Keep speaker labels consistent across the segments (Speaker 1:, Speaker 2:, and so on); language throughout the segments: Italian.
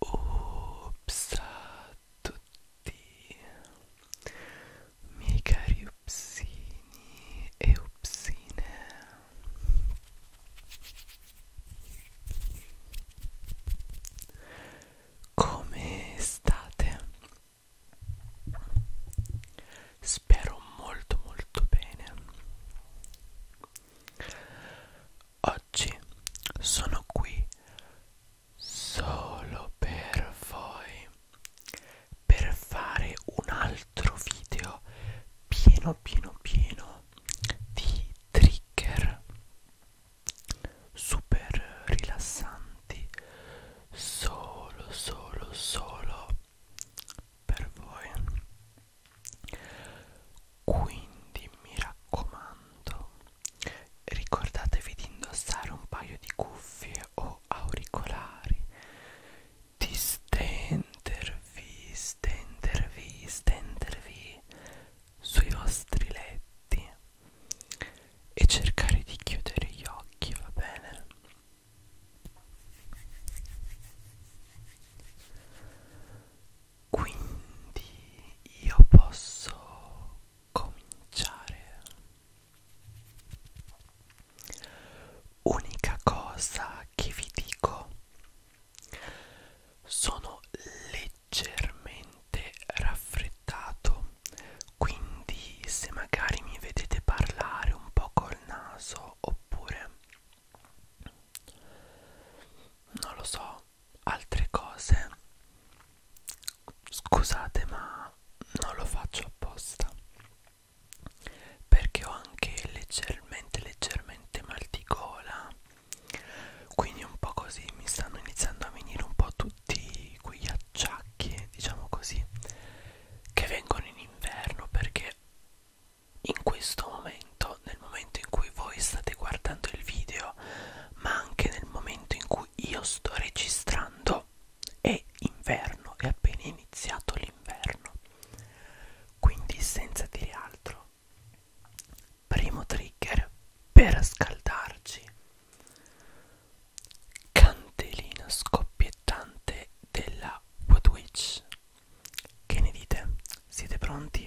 Speaker 1: Ops a tutti miei cari upsini e upsine come state? Spero molto molto bene. Oggi sono qui solo per voi per fare un altro video pieno pieno pieno di trigger super rilassanti solo solo solo per voi quindi mi raccomando ricordatevi di indossare un paio di cuffie o auricolari di stendervi stendervi stendervi sui vostri letti e cercare di chiudere gli occhi, va bene? Quindi io posso cominciare. Unica cosa che vi dico sono leggermente leggermente raffreddato quindi se magari mi vedete parlare un po' col naso oppure non lo so altre cose scusate ma non lo faccio apposta perché ho anche leggermente leggermente mal di gola quindi un po' così mi stanno iniziando a venire un po' tutti tutti quegli acciacchi, diciamo così, che vengono in inverno perché in questo momento, nel momento in cui voi state guardando il video, ma anche nel momento in cui io sto registrando, è inverno, è appena iniziato l'inverno. Quindi senza dire altro, primo trigger per scaldarci candelina scoppiettante della Woodwitch. Che ne dite? Siete pronti?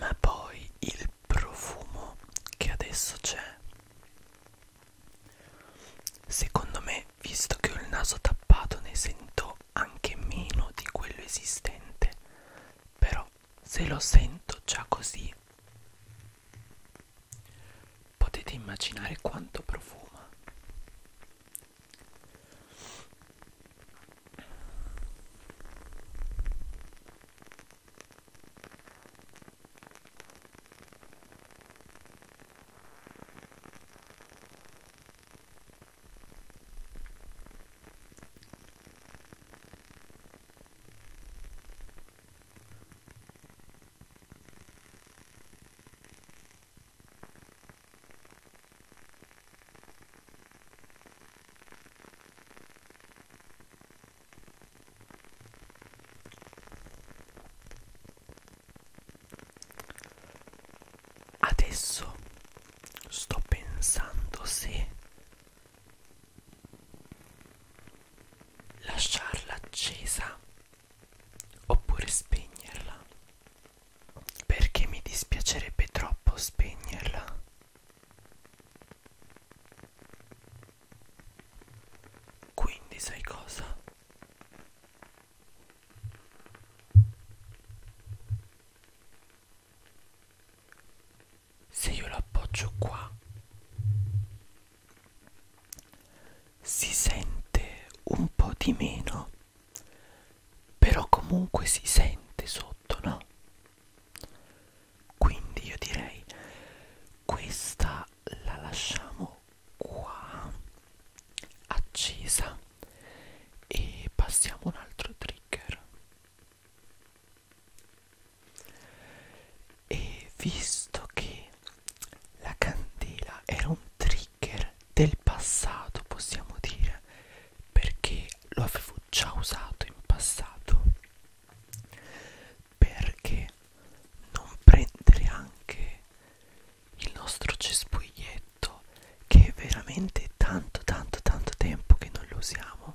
Speaker 1: Ma poi il profumo che adesso c'è. Secondo me, visto che ho il naso tappato, ne sento anche meno di quello esistente. Però se lo sento già così. Potete immaginare quanto profuma. Adesso sto pensando se lasciarla accesa oppure spegnerla perché mi dispiacerebbe troppo spegnerla quindi sai cosa se io lo appoggio qua si sente un po' di meno però comunque si sente sotto no quindi io direi questa la lasciamo qua accesa e passiamo un altro trigger e visto che la candela era un trigger del passato possiamo dire perché lo avevo già usato in passato perché non prendere anche il nostro cespuglietto che è veramente tanto tanto tanto tempo che non lo usiamo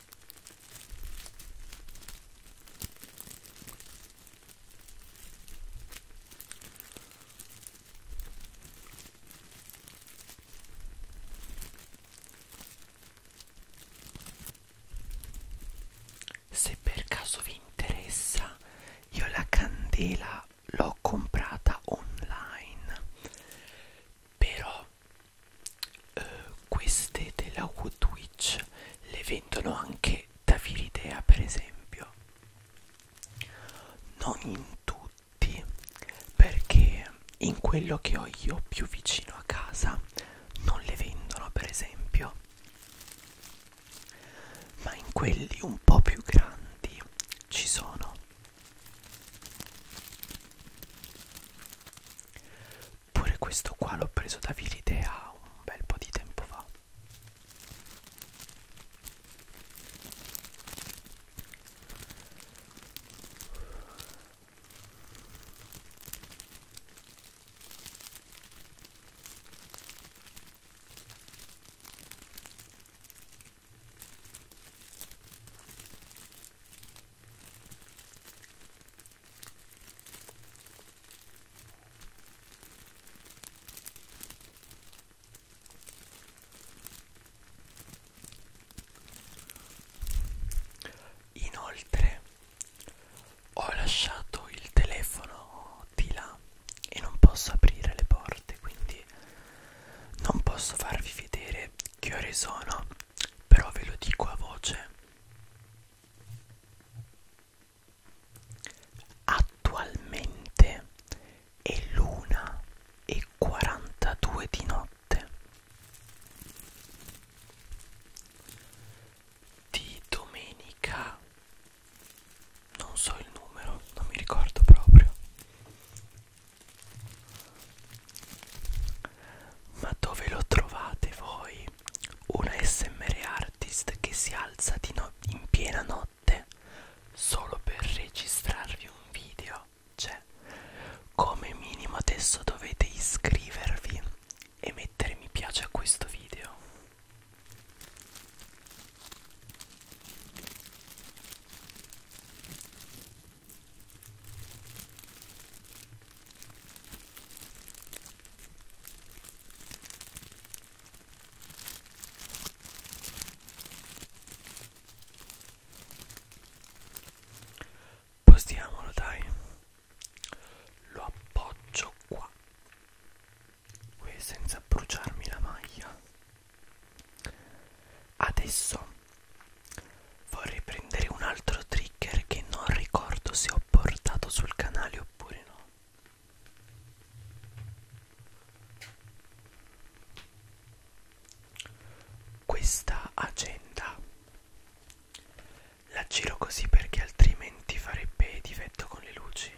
Speaker 1: Se per caso vi interessa, io la candela l'ho comprata online, però eh, queste della Woodwitch le vendono anche da Viridea per esempio non in tutti perché in quello che ho io più vicino a casa non le vendono per esempio ma in quelli un po' più grandi ci sono Pure questo qua l'ho preso da Vilidea un bel po' di tempo fa. Inoltre ho lasciato il telefono di là e non posso aprire le porte, quindi non posso farvi vedere che ore sono, però ve lo dico a voce. Attualmente è l'una e 42 di notte. Di domenica non so il numero, non mi ricordo proprio. Ma dove lo trovate voi? Un SMR artist che si alza di no in piena notte solo per registrarvi un video. Cioè, come minimo adesso dovete iscrivervi e mettere mi piace a questo video. Postiamolo dai, lo appoggio qua senza bruciarmi la maglia. Adesso vorrei prendere un altro trigger che non ricordo se ho portato sul canale oppure no questa agenda la giro così perché altrimenti farebbe difetto con le luci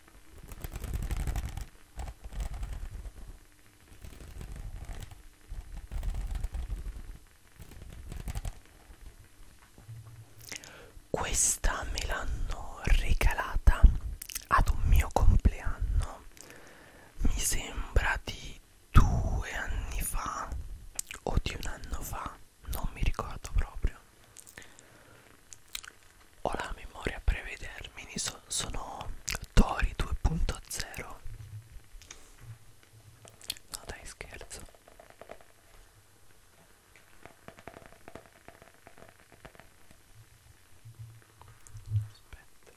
Speaker 1: Questa me l'hanno regalata ad un mio compleanno, mi sembra di due anni fa o di un anno fa, non mi ricordo proprio. Ho la memoria a brevi termini, so, sono Tori 2.0. No dai scherzo. Aspetta.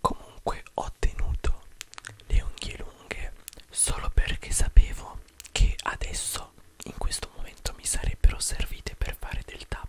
Speaker 1: Comunque ho tenuto le unghie lunghe solo perché sapevo che adesso in questo momento mi sarebbero servite per fare del tapping.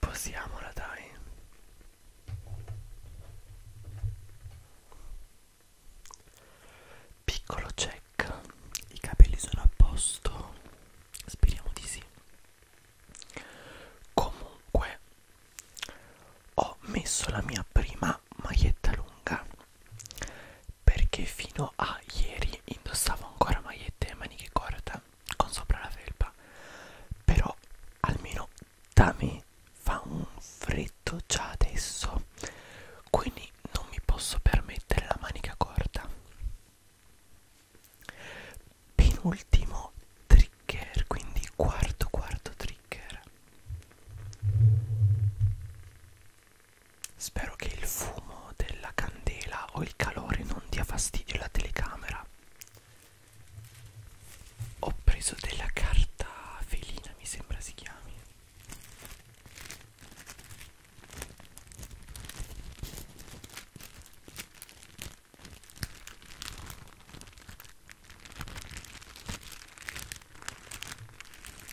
Speaker 1: Possiamola dai. Piccolo check. I capelli sono a posto. Speriamo di sì. Comunque ho messo la mia prima una maglietta lunga perché fino a ieri indossavo ancora magliette a maniche corte con sopra la felpa però almeno da me fa un freddo già adesso quindi non mi posso permettere la manica corta penultimo trigger quindi quarto quarto trigger Spero che il fumo della candela o il calore non dia fastidio alla telecamera. Ho preso della carta felina, mi sembra si chiami.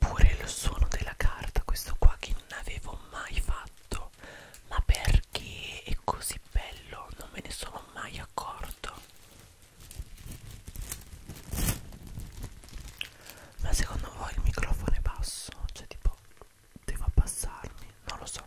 Speaker 1: Pure lo suono della carta, questo qua che non avevo mai fatto, ma perché è così bello non me ne sono mai accorto. Ma secondo voi il microfono è basso? Cioè tipo devo abbassarmi? Non lo so.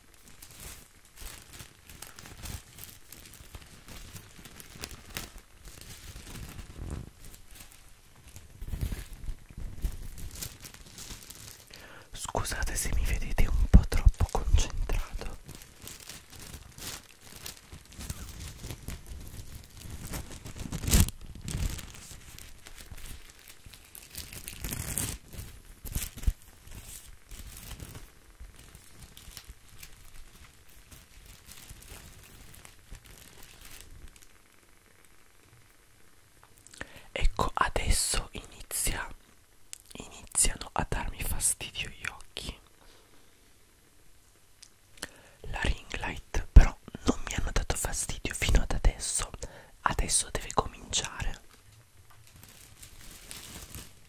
Speaker 1: Scusate se mi vedete un po' troppo concentrato. Ecco, adesso inizia, iniziano a darmi fastidio gli occhi. La ring light però non mi hanno dato fastidio fino ad adesso. Adesso deve cominciare.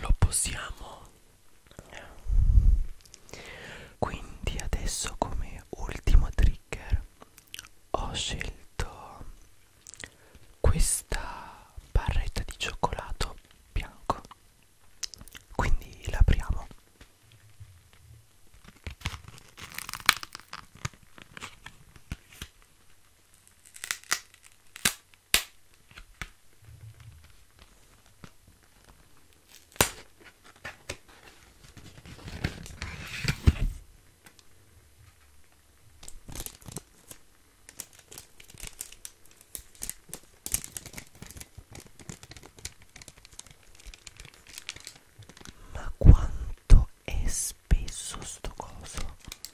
Speaker 1: lo possiamo quindi adesso come ultimo trigger ho scelto questa barretta di cioccolato bianco quindi l'apriamo ma quanto è spesso sto coso?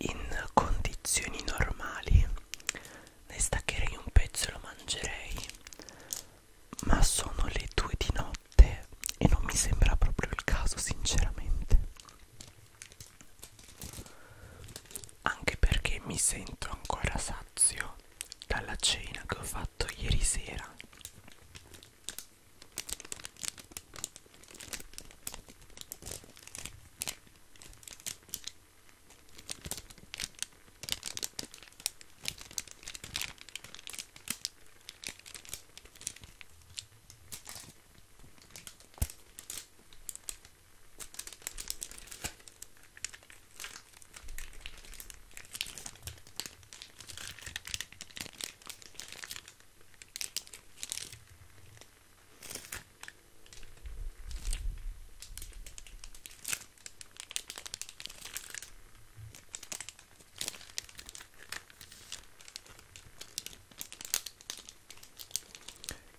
Speaker 1: In condizioni normali ne staccherei un pezzo e lo mangerei, ma sono le due di notte e non mi sembra proprio il caso, sinceramente. Anche perché mi sento ancora sazio dalla cena che ho fatto ieri sera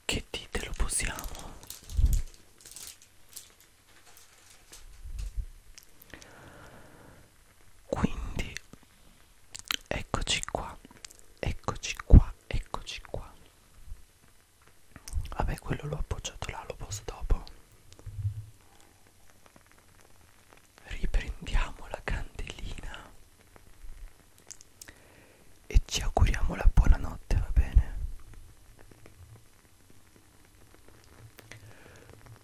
Speaker 1: che dite lo posiamo? Quindi eccoci qua, eccoci qua, eccoci qua. Vabbè, quello l'ho appoggiato là, lo posso dopo. Riprendiamo la candelina e ci auguriamo la buonanotte, va bene?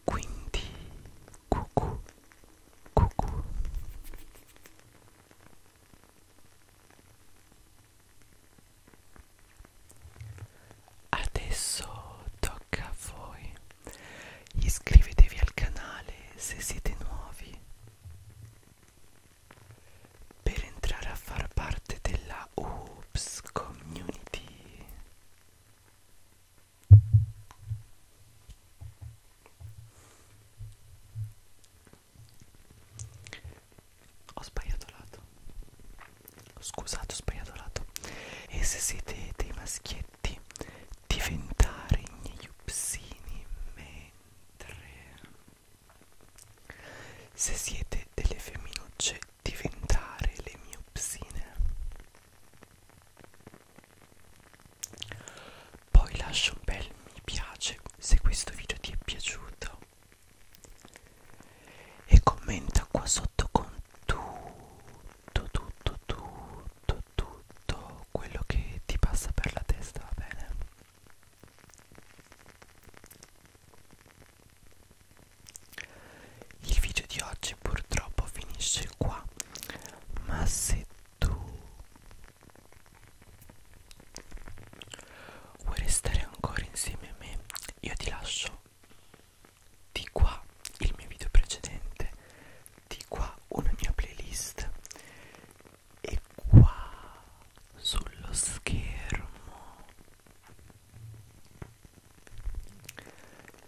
Speaker 1: Quindi cucù cucù Adesso tocca a voi. Iscrivetevi al canale se siete nuovi per entrare a far parte della Oops Community. Ho sbagliato lato. Scusate, ho sbagliato lato. E se siete dei maschietti, diventare gli upsini mentre se siete delle femminucce diventare le mie psine. Poi lascia un bel mi piace se questo video ti è piaciuto e commenta qua sotto con tutto, tutto, tutto, tutto quello che ti passa per la testa, va bene? Il video di oggi purtroppo finisce qua, ma se tu vuoi restare ancora insieme a me, io ti lascio di qua il mio video precedente, di qua una mia playlist e qua sullo schermo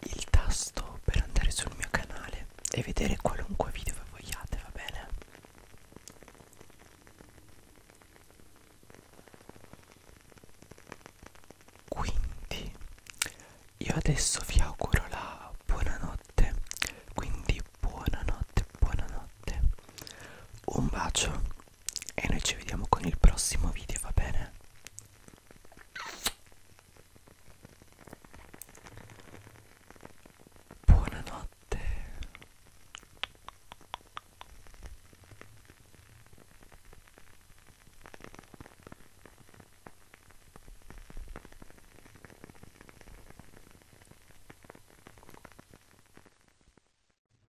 Speaker 1: il tasto per andare sul mio canale e vedere qualunque video che vogliate, va bene? Quindi io adesso vi auguro la buonanotte, quindi buonanotte, buonanotte. Un bacio e noi ci vediamo con il prossimo video, va bene? Buonanotte.